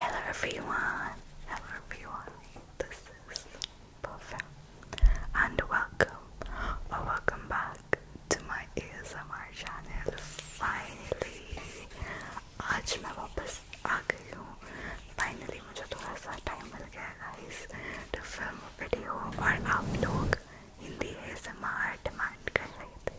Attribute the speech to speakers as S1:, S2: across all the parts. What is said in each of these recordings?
S1: Hello everyone, hello everyone, this is Buffet and welcome or welcome back to my ASMR channel. Finally, आज मैं वापस आ गई हूँ. Finally मुझे थोड़ा सा time मिल गया guys to film a video और आप लोग हिंदी ASMR डिमांड कर रहे थे.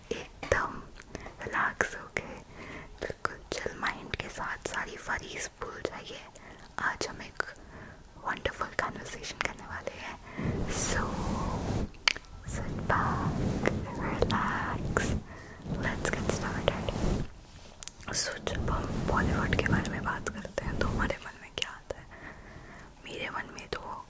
S1: एकदम रिलैक्स हो गए बिल्कुल चिल माइंड के साथ सारी फरीज भूल जाइए आज हम एक वंडरफुल कन्वर्सेशन करने वाले हैं सो sit back, relax, let's get started. सो जब हम बॉलीवुड के बारे में बात करते हैं तो हमारे मन में क्या आता है मेरे मन में तो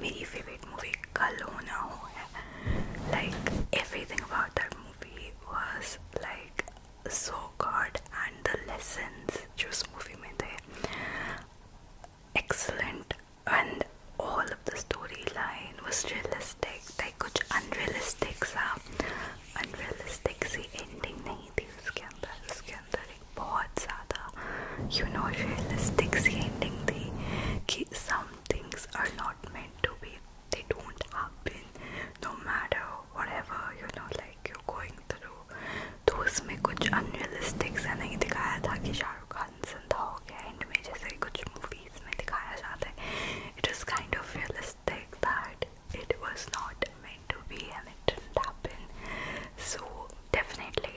S1: मेरी फेवरेट मूवी कल हो ना हो है like everything about that movie was like so good and the lessons जो उस मूवी में थे excellent and all of the story line was realistic like कुछ अनरियलिस्टिक सा अनरियलिस्टिक सी एंडिंग नहीं थी उसके अंदर उसके अंदर एक बहुत बहुत ज़्यादा यू नो रियलिस्टिक्स एंडिंग थी कि some things are not meant to be they don't happen no matter whatever you know like you going through तो उसमें कुछ अनरियलिस्टिक सा नहीं दिखाया था कि शाहरुख खान जिंदा हो गया एंड में जैसे कुछ मूवीज़ में दिखाया जाता है it is kind of realistic that it was not meant to be and it didn't happen so definitely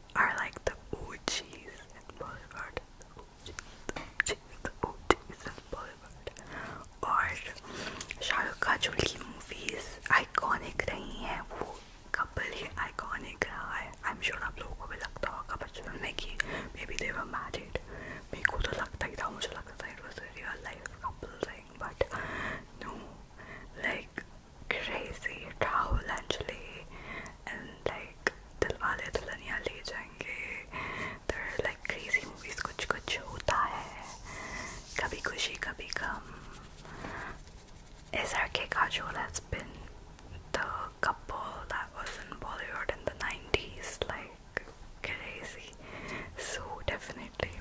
S1: are like the OGs in Bollywood. The OGs, the OGs in Bollywood. और शाहरुख का जो की movies iconic रही हैं वो couple ही iconic रहा है आई एम श्योर आप लोगों को भी लगता होगा बचपन में कि मे बी देवर मैरिड मेरे को तो लगता ही था मुझे लगता था it was real life couple thing but no like crazy Rahul actually and like Dilwale Dulhaniya Le Jayenge there are like crazy movies Kuch Kuch Hota Hai Kabhi Kushi Kabhi Gham SRK Kajol has been the couple that was in Bollywood in the 90s like crazy so definitely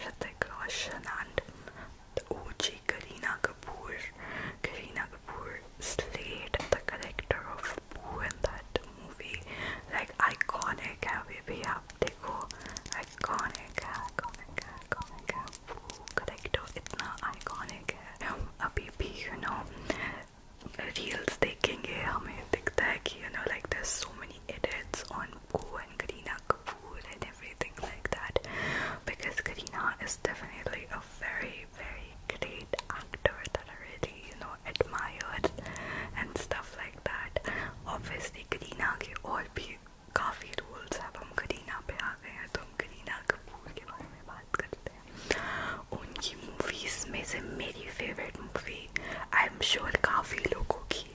S1: Hrithik Roshan and the OG Kareena Kapoor. Kareena Kapoor slayed the character of Boo in that movie. Like iconic है baby आप देखो iconic है iconic है iconic है Boo character इतना iconic है हम अभी भी you know reels देखेंगे हमें दिखता है कि you know like there's so many edits on Boo and Kareena Kapoor and everything like that because Karina is definitely a very, very great actor that I really, you know, admired and stuff like that. Obviously, Karina ke aur bhi काफी roles अब हम करीना पे आ गए हैं तो हम करीना कपूर के बारे में बात करते हैं उनकी मूवीज़ में से मेरी favourite movie I am sure काफ़ी लोगों की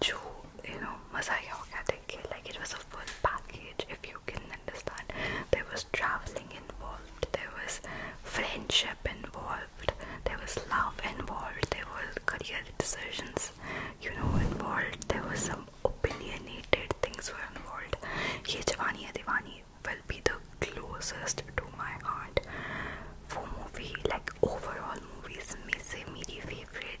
S1: to you know Masai Organic. Like it was a full package, if you can understand. There was traveling involved, there was friendship involved, there was love involved, there were career decisions, you know, involved. There was some opinionated things were involved. Ye Jawani Hai Diwani will be the closest to my heart for movie like overall movies. मेरे my favorite.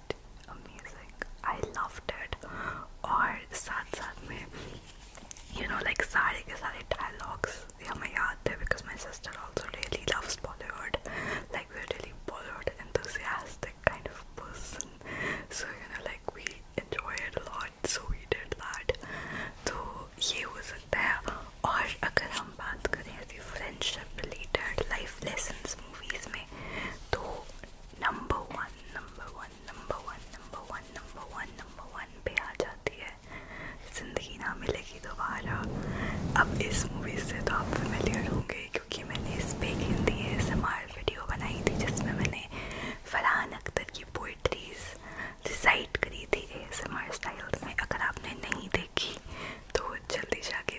S1: amazing. I loved it. Or साथ साथ में you know like सारे के सारे dialogues are my याद There because my sister also really loves Bollywood. Like we're really Bollywood enthusiastic kind of person. So you know like we enjoy it a lot. So we did that. तो ये हो सकता है और अगर हम बात करें अभी friendship, related life lessons, movies में तो number one number one number one number one number one number one पे आ जाती है ज़िंदगी ना मिलेगी दोबारा अब इस मूवी से तो आप फेमिलियर होंगे क्योंकि मैंने इस पर एक Hindi A M M R बनाई थी जिसमें मैंने फरहान अख्तर की पोइट्रीज रिसाइट करी थी एस एम आर स्टाइल में अगर आपने नहीं देखी तो जल्दी जाके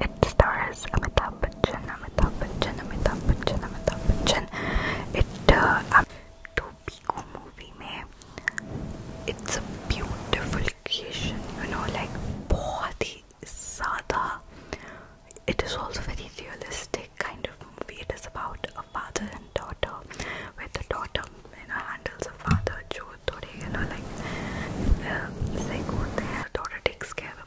S1: It stars Amitabh Bachchan, Amitabh Bachchan, Amitabh Bachchan, Amitabh Bachchan. It uh, um, to Pico movie it's a beautiful creation, you know, like बहुत ही It is also very realistic kind of movie. It is about a father and daughter, where the daughter you know handles a father जो थोड़े you know like uh, sick होते daughter takes care of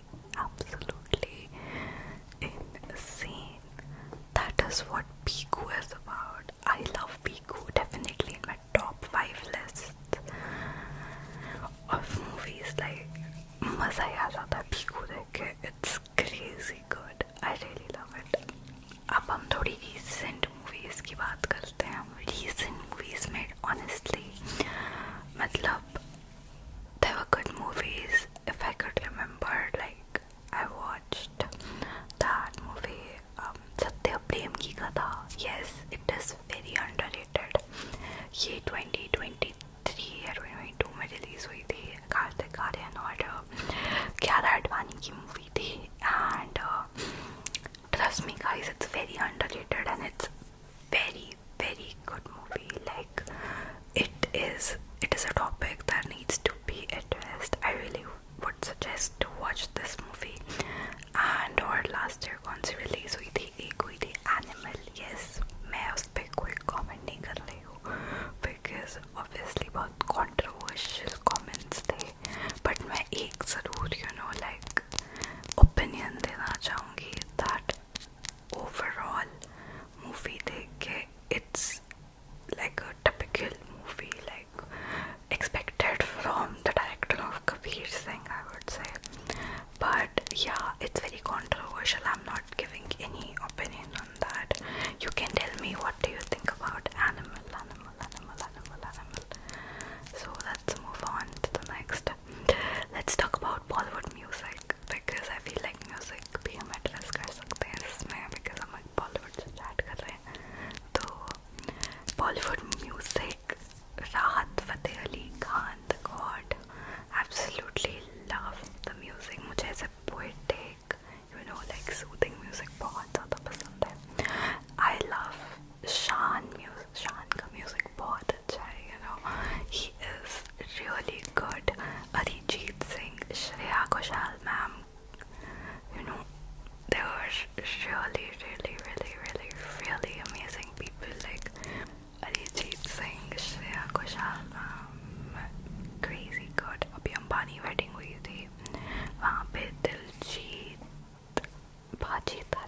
S1: absolutely insane. That is what Piku is about. I love Piku, definitely in my top 5 list of movies. Like, मज़ा ही आ जाता है Piku देख के. It's crazy good. I really love it. अब हम थोड़ी recent movies की बात करते हैं. Recent movies में honestly, मतलब there were good movies if I could remember. Like I watched that movie, um, Satya Prem Ki Katha. Yes, it is very underrated. ये 2023 या 2022 में रिलीज हुई थी कार्तिक आर्यन और ग्यारह अडवाणी की मूवी थी and trust me guys it's very underrated and it's very very good movie. Like it is it is a topic that needs to be addressed. I really would suggest to watch this movie. And और last year कौन सी release हुई थी? एक हुई थी Animal. Yes, मैं उस पर कोई comment नहीं कर रही हूँ because obviously बहुत controversial comments थे. But मैं एक ज़रूर you know like opinion देना चाहूँगी that overall movie they it's like a typical movie like expected from the director of Kabir Singh I would say but yeah it's very controversial I'm not giving any opinion on that you can tell me what do you think about animal animal animal animal animal so let's move on to the next. Let's talk about Bollywood music because I feel like music भी हम address कर सकते हैं man because हम Bollywood से chat कर रहे हैं Bollywood music Rahat Fateh Ali Khan the God absolutely love the music मुझे ऐसे poetic you know like soothing music बहुत ज़्यादा पसंद है I love Shan music Shan music he is really good Arijit Singh Shreya Ghoshal ma'am you know they were really really really really really amazing people like Arijit Singh Shreya Ghoshal ma'am crazy good अभी Ambani wedding हुई थी वहाँ पे दिलजीत भाजी था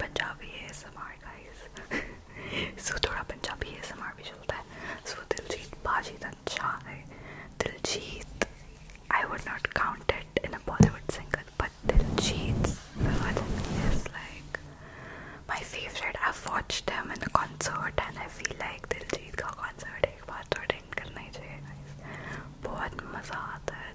S1: Punjabi A S M R guys so थोड़ा Punjabi A S M R भी चलता है सो दिलजीत बाजी अच्छा है Diljit I would not count it in a Bollywood single, but Diljit Dosanjh is like my favorite. I've watched him in a concert, and I feel like Diljit ka concert ek baar attend karna hi chahiye guys. बहुत मजा आता है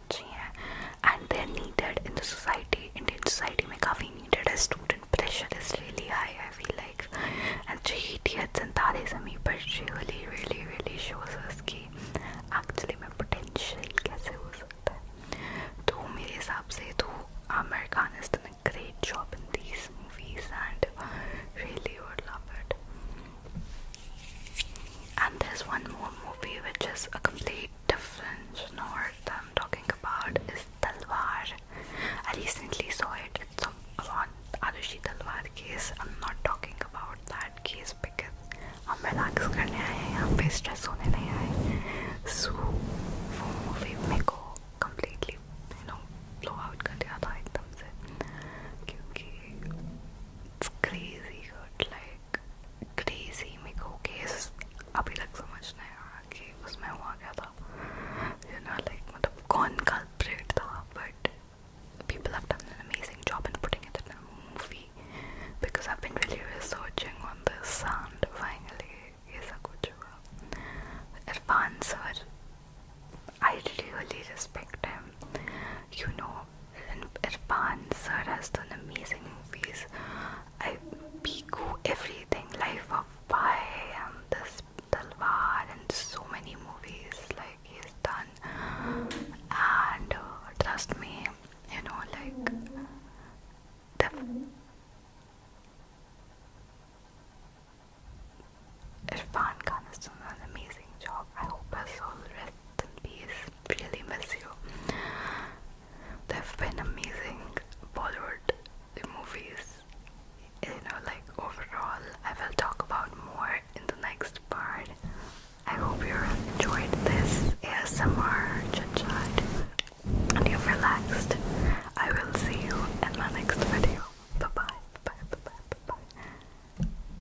S1: बहुत अच्छी हैं and they are needed in the society Indian society में काफ़ी needed है student pressure is really high I feel like and three idiots and Taare Zameen Par she really really really shows us कि एक्चुअली में पोटेंशियल कैसे हो सकता है तो मेरे हिसाब से तो Aamir Khan is done a great job in these movies and really would love it and there's one more movie which is a complete different genre that I'm talking about is Talwar. I recently saw it. It's about Arushi Talwar case. I'm not talking about that case because हम relax करने आए हैं यहाँ पे stress होने नहीं आए सो वो मूवी मेरे को completely you know blow out कर दिया था एकदम से क्योंकि it's crazy good like crazy मेरे को केस अभी तक समझ नहीं आ रहा कि उसमें हुआ क्या था यू नो लाइक मतलब कौन कल्प्रेट था but people have done an amazing job in putting it in a movie because I've been really researching on this and finally ऐसा कुछ हुआ I really respect him you know and Irfan sir has done amazing movies. I have Piku, everything, Life of Pi, and um, this Talwar, and so many movies like he's done. And uh, trust me, you know, like the Irfan Khan has done an amazing job. I hope his soul rest and Really miss you. They've been amazing. Bollywood, the movies. You know, like overall, I will talk about more in the next part. I hope you enjoyed this ASMR chit chat and you've relaxed. I will see you in my next video. Bye bye. Bye bye bye bye.